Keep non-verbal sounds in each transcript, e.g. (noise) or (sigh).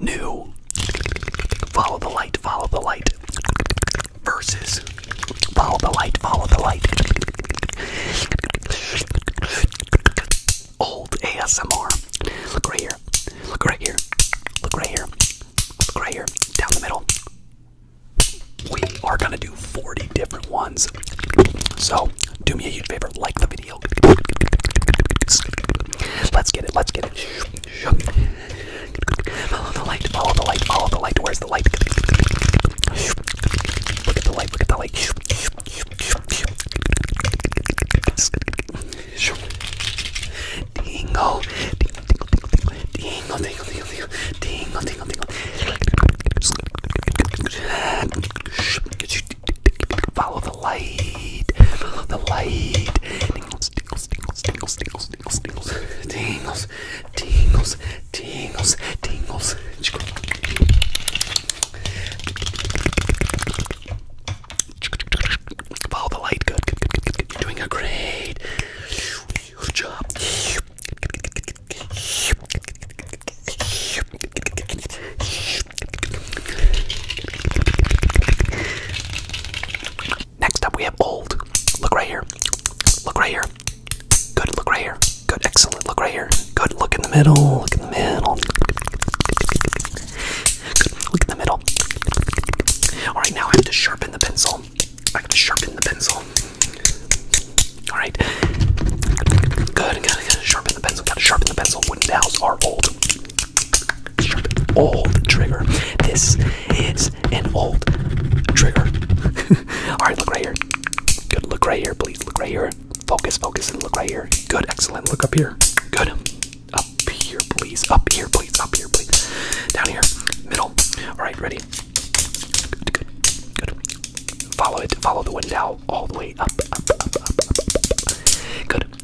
new follow the light follow the light versus follow the light follow the light old asmr look right here look right here look right here look right here down the middle we are gonna do 40 different ones so do me a huge favor like the video go. Let's get it. Let's get it. Follow the light. Follow the light. Follow the light. Where's the light? Look at the light. Look at the light. Dingle. Dingle. Dingle. Dingle. Dingle. Dingle. Dingle. Follow the light. Follow the light tingles, tingles, tingles, tingles, tingles, tingles, tingles, tingles, tingles, tingles, tingles. Follow the light. Good, good, good, good, good. You're doing a great job. Next up, we have old. Look right here. Look right here. Good. Look right here. Good. Excellent. Look right here. Good. Look in the middle. Look in the middle. Good. Look in the middle. All right. Now I have to sharpen the pencil. I have to sharpen the pencil. All right. Good. Gotta, gotta sharpen the pencil. Gotta sharpen the pencil. Wooden dowels are old old trigger. This is an old trigger. (laughs) Alright, look right here. Good, look right here, please. Look right here. Focus, focus, and look right here. Good, excellent. Look up here. Good. Up here, please. Up here, please. Up here, please. Down here. Middle. Alright, ready. Good, good, Follow it. Follow the wind out all the way up, up, up, up. Good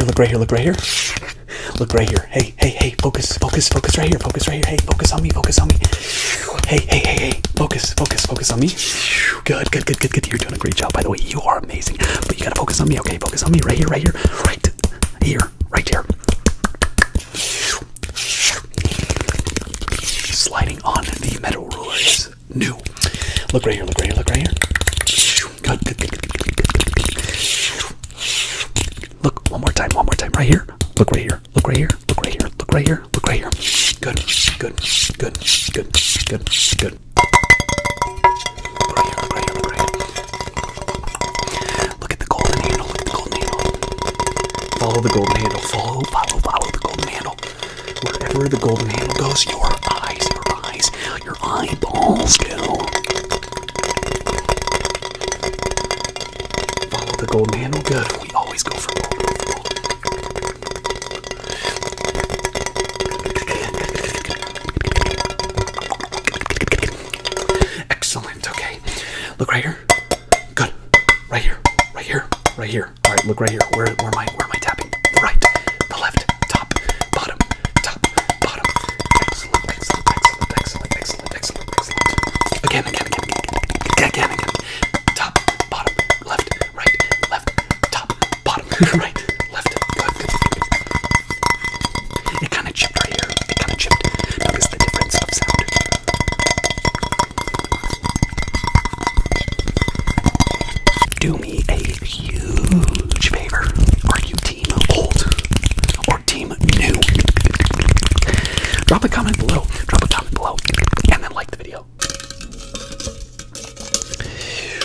Look right here, look right here, look right here. Look right here. Hey, hey, hey, focus, focus, focus right here, focus right here. Hey, focus on me, focus on me. Hey, hey, hey, hey, focus, focus, focus on me. Good, good, good, good, good. You're doing a great job, by the way. You are amazing. But you gotta focus on me, okay? Focus on me right here, right here, right here, right here. Sliding on the metal ruler is new. Look right here, look right here, look right here. Good, good, good, good, good, good. Look one more time, one more time, right here. Look right here, look right here, look right here, look right here, look right here. Good, good, good, good, good, good, Look at the golden handle. Follow the golden handle. Follow, follow, follow the golden handle. Wherever the golden handle goes, your eyes, your eyes, your eyeballs go. Follow the golden handle. Good. We always go for gold. Excellent. Okay. Look right here. Good. Right here. Right here. Right here. All right. Look right here. Where, where am I? Where am I tapping? The right. The left. Top. Bottom. Top. Bottom. Excellent. Excellent. Excellent. Excellent. Excellent. Excellent. Excellent. Again. Again. Again. Again. Again. Again. Top. Bottom. Left. Right. Left. Top. Bottom. (laughs) right. Left. Left. It kind of chipped right here. It kind of chipped. Notice the difference of sound. Do me a huge favor. Are you team old or team new? Drop a comment below. Drop a comment below. And then like the video.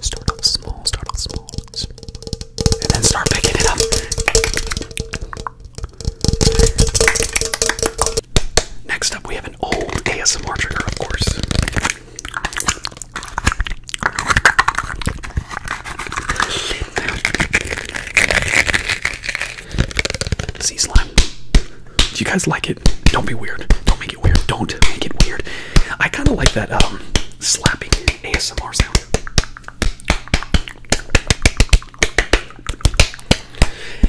Start off small, start off small. And then start picking up. Next up, we have an old ASMR trigger, of course. Sea slime. Do you guys like it? Don't be weird. Don't make it weird. Don't make it weird. I kind of like that um, slapping ASMR sound.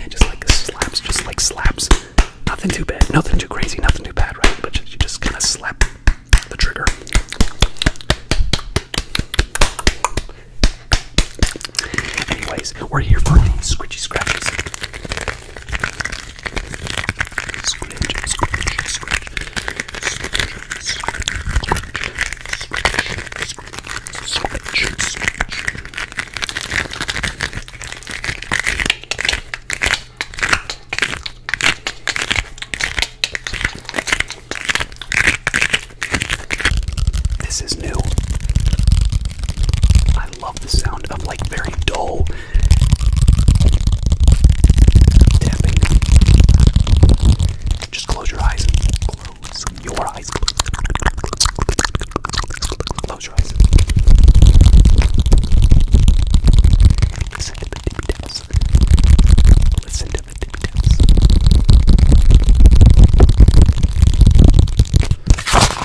Just like slaps, just like slaps. Nothing too bad, nothing too crazy, nothing too bad, right? But you just kind of slap the trigger. Anyways, we're here for scritchy scratches. Scritch, this is new. I love the sound of like very dull tapping. Just close your eyes. Close your eyes. Close your eyes. Listen to the tippy taps. Listen to the tippy taps.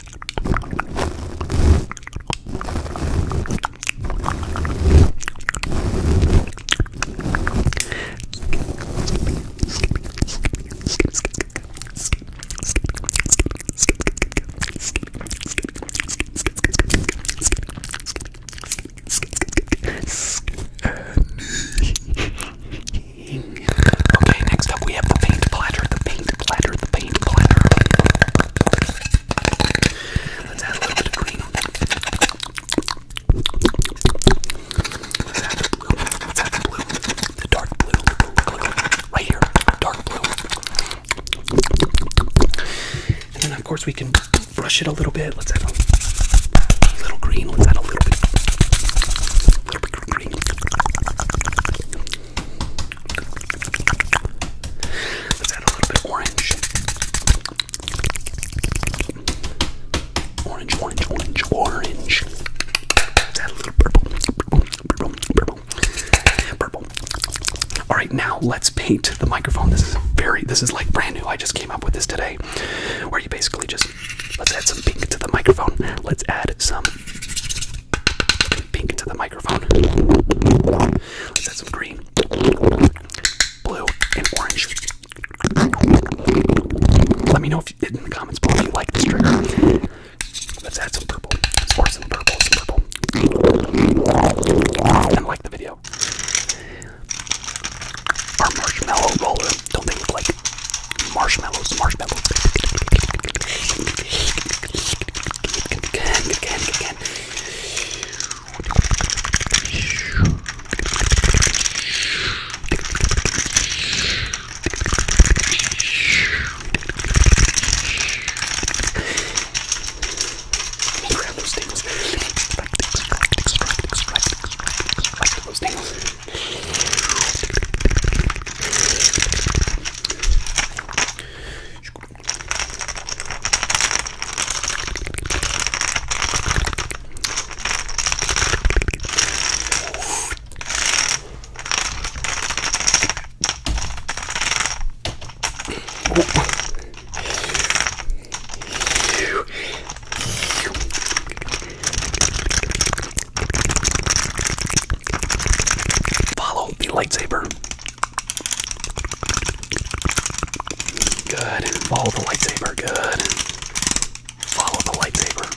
Okay, next up we have the pink platter, the pink platter, the paint platter. Let's add a little green. the dark blue. Right here. Dark blue. And then, of course, we can brush it a little bit. Let's add a little green. Let's add a little bit. little bit green. Let's add a little bit of orange. Orange, orange, orange, orange. Let's add a little purple. Purple, purple, purple. All right, now let's paint the microphone. This is very, this is like brand new. I just came up with this today. Where you basically just, let's add some pink to the microphone. Let's add some Pink into the microphone. Let's add some green, blue, and orange. Let me know if you, in the comments below if you like this trigger. Let's add some purple. Or some purple, some purple. And like the video. Our marshmallow roller. Don't they look like marshmallows? Marshmallows. Let me grab those things. Those things. Follow the lightsaber. Good. Follow the lightsaber. Good. Follow the lightsaber.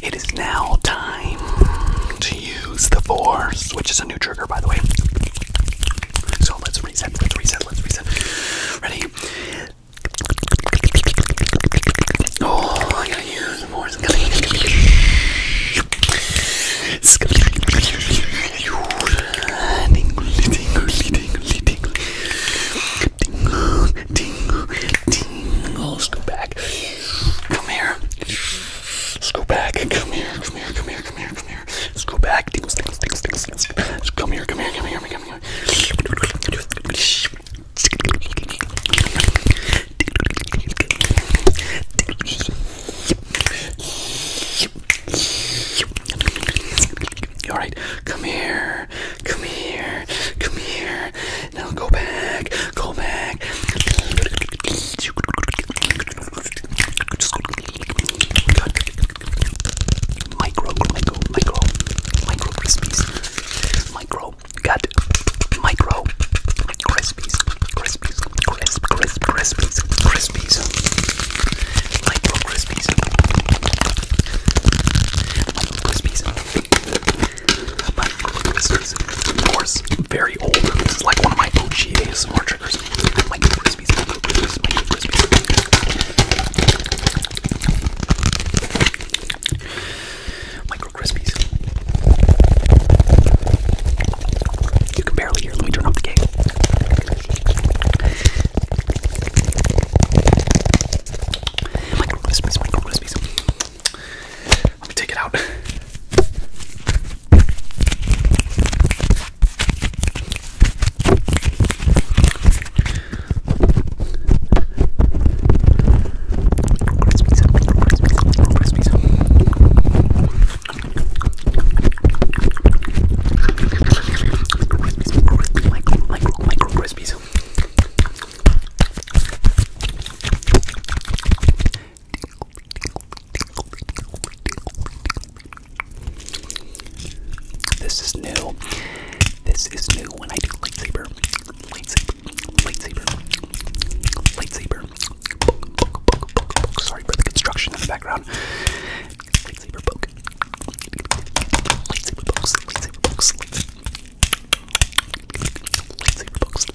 It is now time to use the force, which is a new trigger, by the way. So let's reset, let reset reset, let's reset. Ready? Oh, I gotta use more. It's gonna use Go back. Come here. Let's go back. Come here. Come here. Come here. Come here come here. Let's go back. Tingles, tingles, tingles, tingles, tingles. Come here, come here, come here, come here, come here. Alright, come here, come here, come here. Now go back, go back. Good micro, micro, micro, micro crispies, micro, got micro crispies, crispies, crisp, crisp, crispies, crispies, micro crispies, micro crispies, micro crispies. Of course, very old. This is like one of my OG ASMR triggers. Micro crispies. Krispies, Cocoa Krispies, my new Krispies. Micro Krispies. You can barely hear. Let me turn off the game. Micro Krispies, Micro Krispies. Let me take it out. Crispies, this is new. This is new when I do lightsaber. Lightsaber. Lightsaber. Lightsaber. Book, book, book, book, Sorry for the construction in the background. Lightsaber book. Lightsaber books. Lightsaber books. Lightsaber Lightsaber.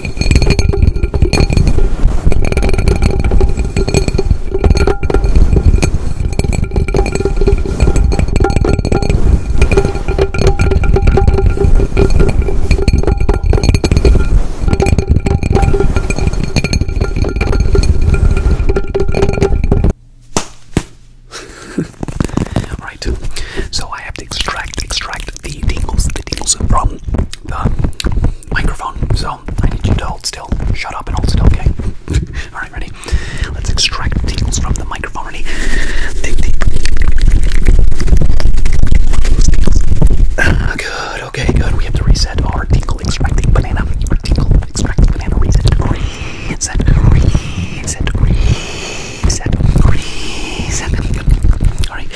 (laughs) right, so I have to extract, extract the tingles, the tingles from the microphone, so I need you to hold still. Shut up and hold still, okay? (laughs) Alright, ready? Let's extract tingles from the microphone. Ready? (sighs) Good, okay, good. We have to reset our tingle extracting banana. Our tingle extracting banana. Reset, reset, reset, reset, reset. reset. Alright, Oh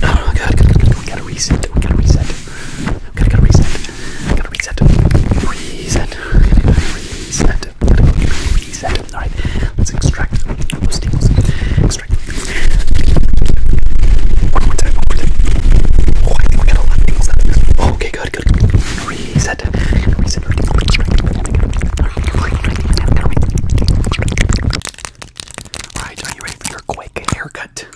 my god, we gotta reset, we gotta reset. We gotta reset. We gotta reset. Reset. Reset. Reset. Alright, let's extract those tingles. Extract. One more time, one more time. Oh, I think we got a lot of tingles out of this. Oh, okay, good, good. Reset. Reset. Reset. Alright, are you ready for your quick haircut?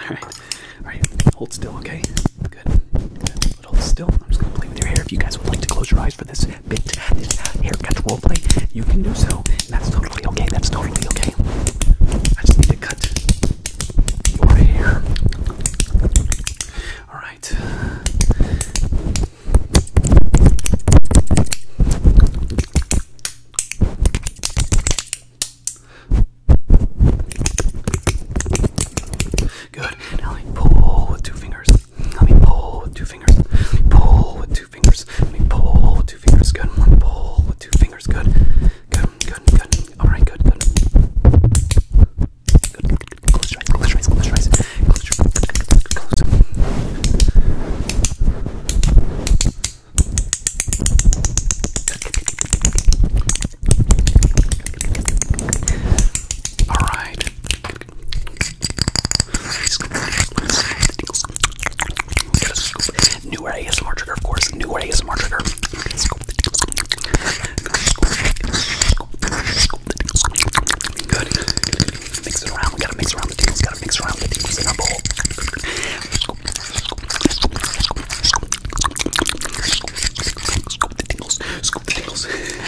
Alright, alright, hold still, okay? Good. Good. hold still. I'm just gonna play with your hair. If you guys would like to close your eyes for this bit, this haircut play, you can do so. And that's totally okay, that's totally okay. I just need to cut your hair. Alright. Good. Now let me pull with two fingers. Let me pull with two fingers. Let me pull with two fingers. Let me pull with two fingers. Good. Let me pull with two fingers. Good. Good. Good. Good. All right. Good. Good. Good. Good. Close your eyes, close your eyes, close your eyes. Close your eyes. Alright. New ASMR trigger, of course. New ASMR trigger. Good. Mix it around. We gotta mix around the tingles. Gotta mix around the tingles in our bowl. Scoop the tingles. Scoop the tingles. Here.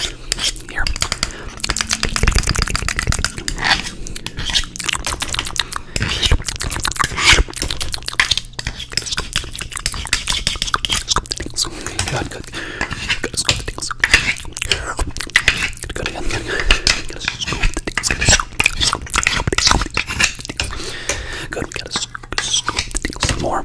Good, good, gotta scoop the tingles. Gotta, gotta, gotta scoop the tingles. Gotta scoop the tingles. Good, we gotta scoop the tingles some more.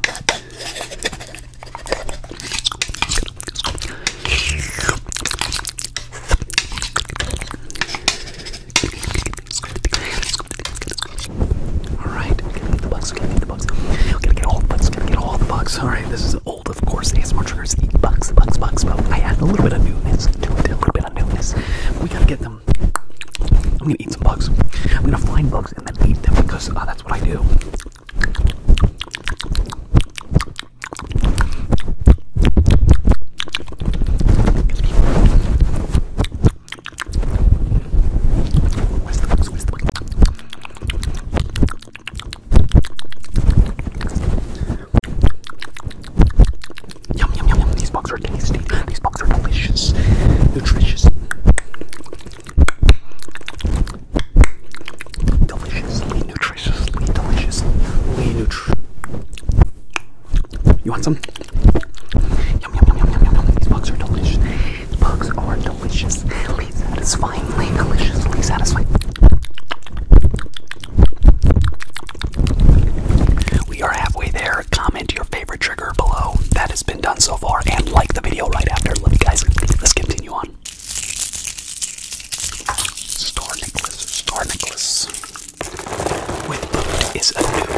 Alright, gotta get the bugs, gotta get the bugs. Gotta get all the bugs, gotta get all the bugs. Alright, this is of course, ASMR triggers, the bugs, bugs, bugs, but I added a little bit of newness to it, a little bit of newness. We gotta get them. I'm gonna eat some bugs. I'm gonna find bugs and then eat them because uh, that's what I do. Where's the bugs? Where's the bugs? Yum yum yum yum. These bugs are tasty. These bugs are delicious. Nutritious. Deliciously, nutritiously, deliciously, nutri. You want some? Yum yum yum yum yum yum These bugs are delicious. These bugs are delicious deliciously satisfyingly, deliciously satisfying. We are halfway there. Comment your favorite trigger below that has been done so far and like the video right after. Let me guys, let's continue on. Star necklace, star necklace. With a new ASMR trigger.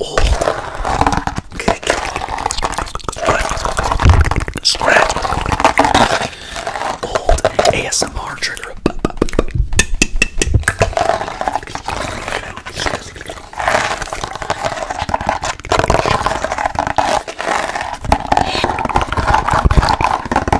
Oh, okay. Scratch. Old ASMR trigger.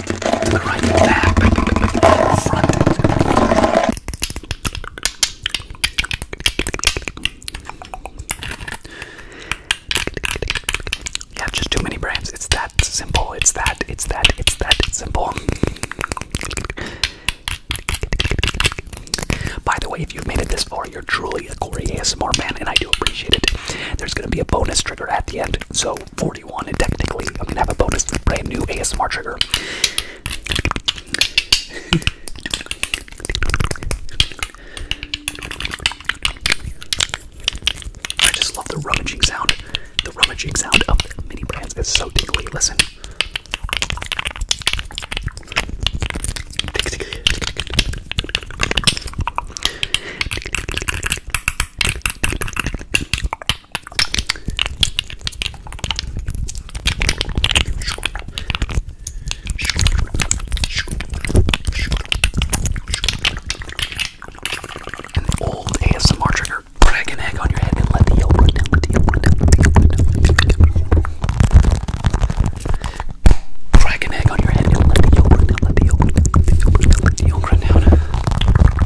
Yeah, just too many brands. It's that simple. It's that. It's that. It's that simple. By the way, if you've made it this far, you're truly a Corey ASMR man, and I do appreciate it. There's going to be a bonus trigger at the end, so 41 and technically I'm gonna have a bonus brand new ASMR trigger. I just love the rummaging sound. The rummaging sound of mini brands is so tingly. Listen. An old ASMR trigger. Drag an egg on your head and let the yolk run down. Let the yolk run down. Let the yolk run down. Let the yolk run down. Drag an egg on your head and let the yolk run down. Let the yolk run down. Let the yolk run down. Let the yolk run down.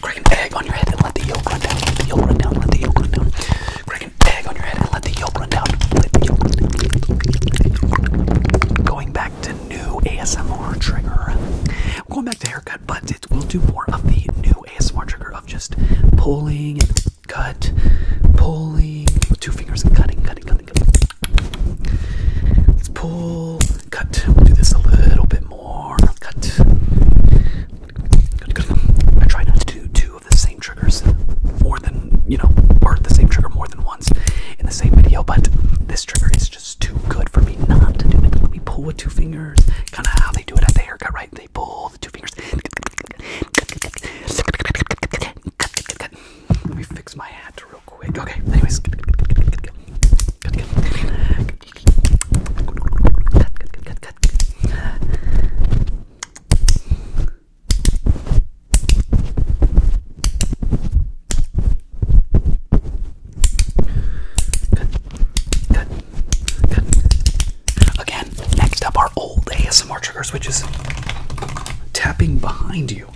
Crack an egg on your head and let the yolk run down. Let the yolk run down. Let the yolk run down. Crack an egg on your head and let the yolk run down. Let the yolk Going back to new ASMR trigger. going back to haircut, but it will do more of the new ASMR trigger of just pulling and cut, pulling two fingers and cutting, cutting, cutting, cutting. Let's pull, Cut. We'll do this a little bit more. Cut. I try not to do two of the same triggers more than, you know, or the same trigger more than once in the same video, but this trigger is just too good for me not to do it. Let me pull with two fingers. Kind of how they do it at the haircut, right? They pull the two fingers. Let me fix my hat real quick. Okay, anyways. Cut, cut, cut, cut, cut. Cut, Again, next up are old ASMR triggers, which is tapping behind you.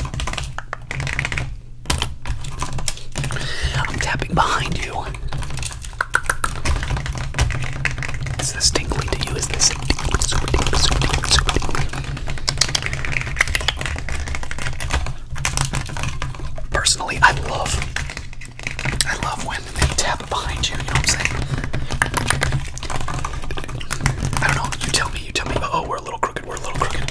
I'm tapping behind you. Is this tingly to you? Is this tingly, Personally, I love, I love when they tap behind you. You know what I'm saying? I don't know. You tell me. You tell me. Oh, we're a little crooked. We're a little crooked.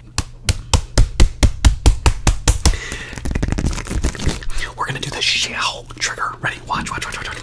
We're gonna do the shell trigger. Ready? Watch, watch, watch, watch, watch.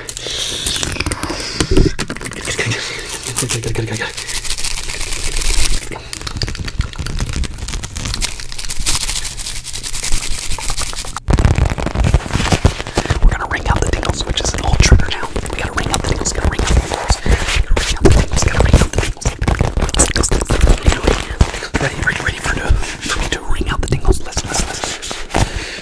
We're gonna ring out the tingles, which is an old trigger now. We gotta ring out the tingles, gotta ring out the tingles. Gotta ring out the tingles, gotta ring out the tingles. Ready, ready, ready for, to, for me to ring out the tingles. Listen, listen, listen.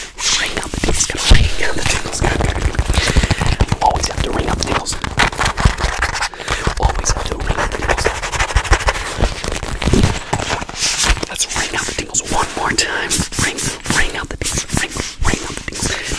Ring out the tingles, ring out the tingles, Always have to ring out the tingles. Always have to ring out the tingles. Let's ring out the tingles one more time. Ring, ring out the dings. ring, ring out the tingles.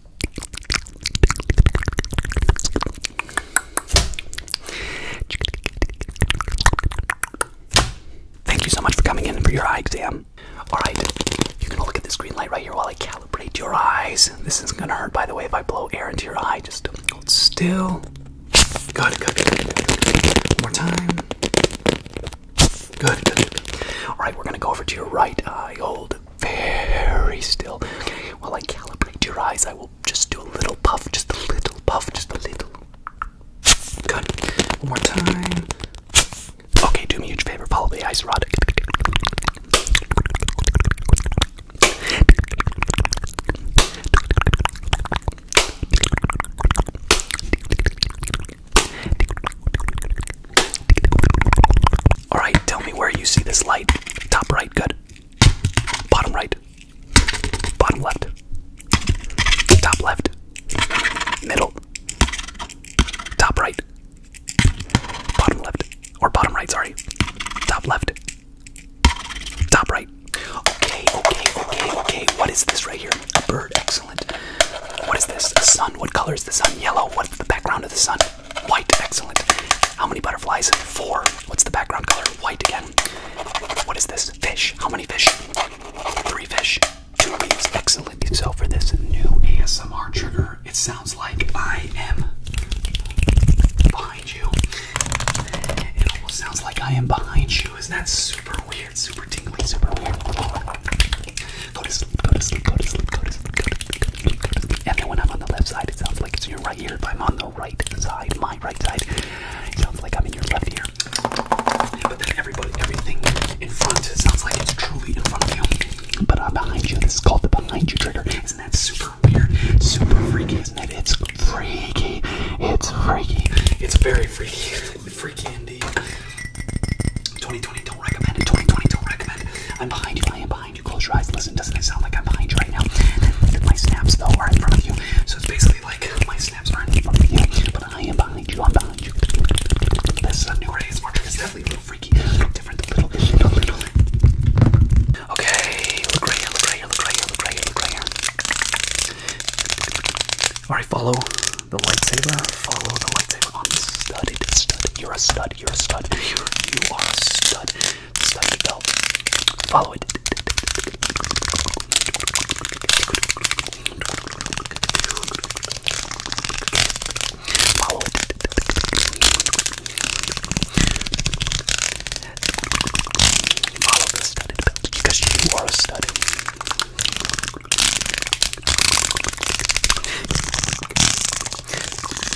Thank you so much for coming in for your eye exam. Alright, you can look at this green light right here while I calibrate your eyes. This isn't gonna hurt, by the way, if I blow air into your eye. Just hold still. Good, good. One more time. Good, good. Alright, we're gonna go over to your right eye. Hold very still. While I calibrate your eyes, I will just do a little puff, just a little puff, just a little. Good. One more time. Okay, do me a huge favor, follow the ice rod. Alright, tell me where you see this light. Top right, good. Bottom right. Bottom left. Top left. Middle. Top right. Bottom left. Or bottom right, sorry. Top left. Top right. Okay, okay, okay, okay. What is this right here? A bird. Excellent. What is this? A sun. What color is the sun? Yellow. What's the background of the sun? White, excellent. How many butterflies? Four. What's the background color? White again. What is this? Fish. How many fish? Three fish. Two means Excellent. So for this new ASMR trigger, it sounds like I am behind you. It almost sounds like I am behind you. Isn't that super weird? Super tingly, super weird. go to sleep, go to sleep, go to sleep, go to sleep. And then when I'm on the left side, it sounds like it's in your right ear. If I'm on the right side, my right side, sounds like I'm in your left ear. But then everybody, everything in front sounds like it's truly in front of you. But I'm uh, behind you. This is called the behind you trigger. Isn't that super weird? Super freaky, isn't it? It's freaky. It's freaky. It's very freaky. Freaky candy. 2020, don't recommend it. 2020, don't recommend it. I'm behind you. I am behind behind you. Close your eyes. Listen, doesn't it sound like I'm behind you right now? My snaps, though, are in front of you. So it's basically like my snaps are in front of you, but I am behind you. I'm behind you. This is a new race. March is definitely a little freaky. Different little, little, little. Okay, look right here, look right here, look right here, look right here, look right here. Alright, follow the lightsaber. Follow the lightsaber. I'm studded, studded. You're a stud, you're a stud. You're, you are a stud. Stuff your belt. Follow it. Follow it. Follow the studded belt because you are a stud.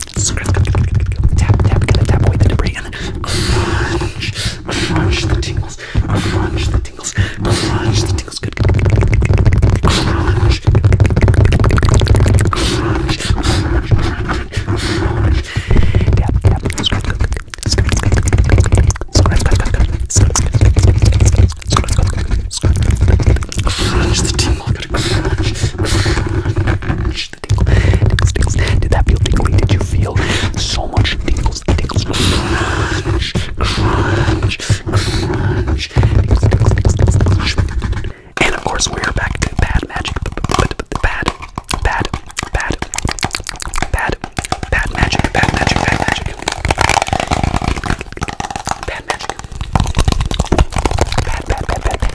Tap, tap, gonna tap away the debris and then crunch, crunch the tingles, crunch the tingles, crunch the tingles, good, good, good, good, good. crunch, crunch, crunch, crunch, crunch, tap, tap, scratch, good, good, scratch, scratch, good, good, good, scratch, scratch, good, good, scratch, scratch, good, good, scratch, scratch, good, good, scratch, crunch the tingle, good, crunch, crunch, much the tingle, tingles, Did that feel tingly? Did you feel so much tingles, tingles? Crunch, crunch, crunch. And of course, we're back to bad magic. Bad, bad, bad, bad, bad magic, bad magic, bad magic. Bad magic. bad, bad, bad, bad.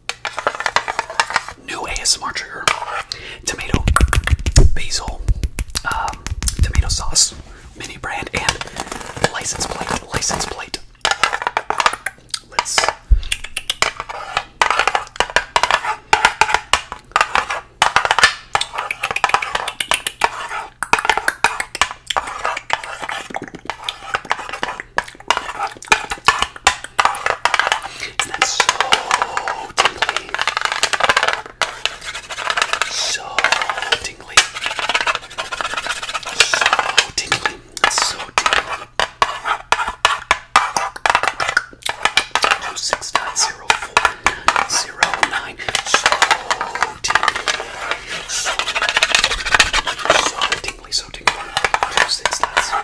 New ASMR trigger. Tomato, basil, um, tomato sauce, mini brand, and license plate. License plate. Let's. And that's so tingly. So tingly. So tingly. So tingly. Oh six nine zero four nine zero nine. So tingly. So, so tingly. So tingly. Oh six nine zero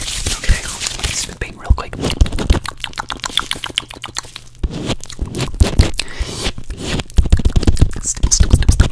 Okay, spitting real quick. Stip, stip, stip, stip.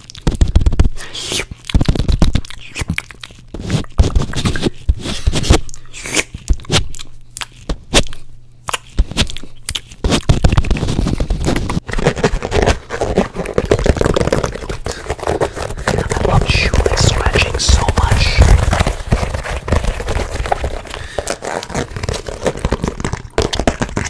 I love chewing, scratching so much.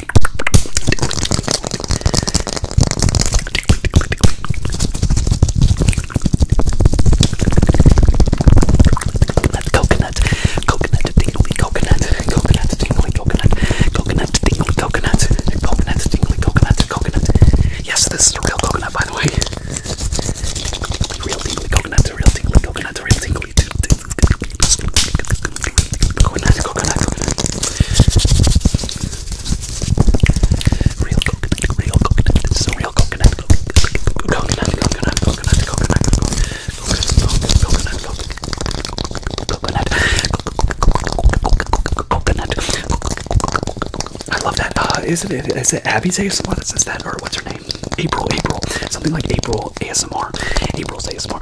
coconut, coconut tingly, coconut, coconut tingly, coconut, coconut tingly, coconut, coconut tingly, coconut, coconut. Yes, this is a real coconut, by the way. Real tingly coconut, real tingly coconut, real tingly. Real coconut, real coconut. This is real coconut. Coconut, coconut, coconut, coconut, coconut, coconut, I love that. Uh, is it? Is it Abby's ASMR that says that, or what's her name? April, April, something like April ASMR. April's ASMR.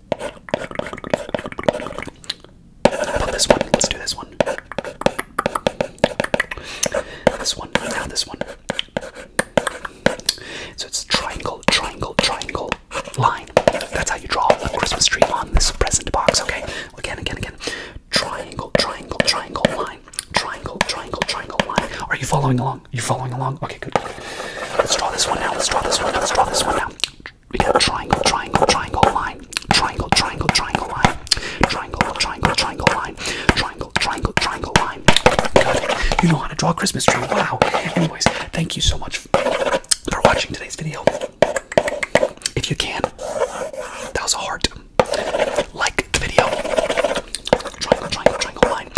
About this one. Let's do this one. This one. Now this one. So it's triangle, triangle, triangle, line. That's how you draw a Christmas tree on this present box. Okay. Again, again, again. Triangle, triangle, triangle, line. Triangle, triangle, triangle, line. Are you following along? You following along? Okay, good. Let's draw this one now. Let's draw this one. Let's draw this one now we got triangle, triangle, triangle line, triangle, triangle, triangle line, triangle, triangle, triangle line, triangle, triangle, triangle line. Got You know how to draw a Christmas tree. Wow. Anyways, thank you so much for watching today's video. If you can, that was a heart. Like the video. Triangle, triangle, triangle line.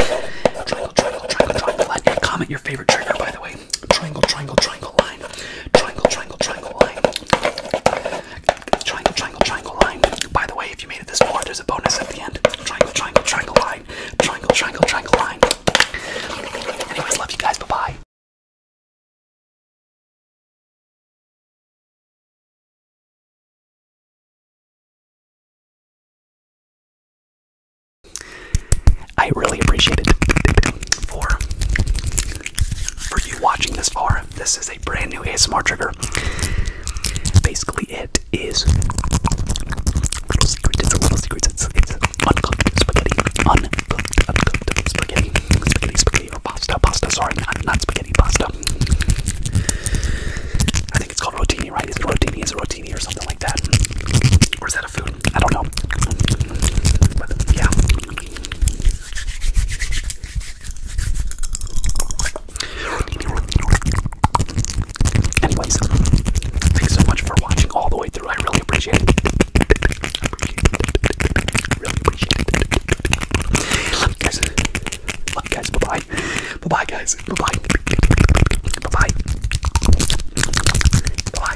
Triangle, triangle, triangle, line. Comment your favorite trigger, by the way line, triangle, triangle, triangle line, triangle, triangle, triangle line, triangle, triangle, triangle line. By the way, if you made it this far, there's a bonus at the end. Triangle, triangle, triangle line, triangle, triangle, triangle line. Anyways, love you guys. Bye bye. I really appreciate it for for you watching this far. This is a brand new ASMR trigger. Basically, it is little secret. It's a little secret. It's, it's uncooked spaghetti, uncooked, uncooked spaghetti, spaghetti, spaghetti, or pasta, pasta. Sorry, not, not spaghetti, pasta. I think it's called rotini, right? Is it rotini? Is it rotini or something like that? Or is that a food? I don't know. yeah. Anyways, thanks so much for watching all the way through. I Really appreciate it. Love you guys. Love you guys. Bye-bye. Bye-bye guys. Bye-bye. Bye-bye. Bye-bye.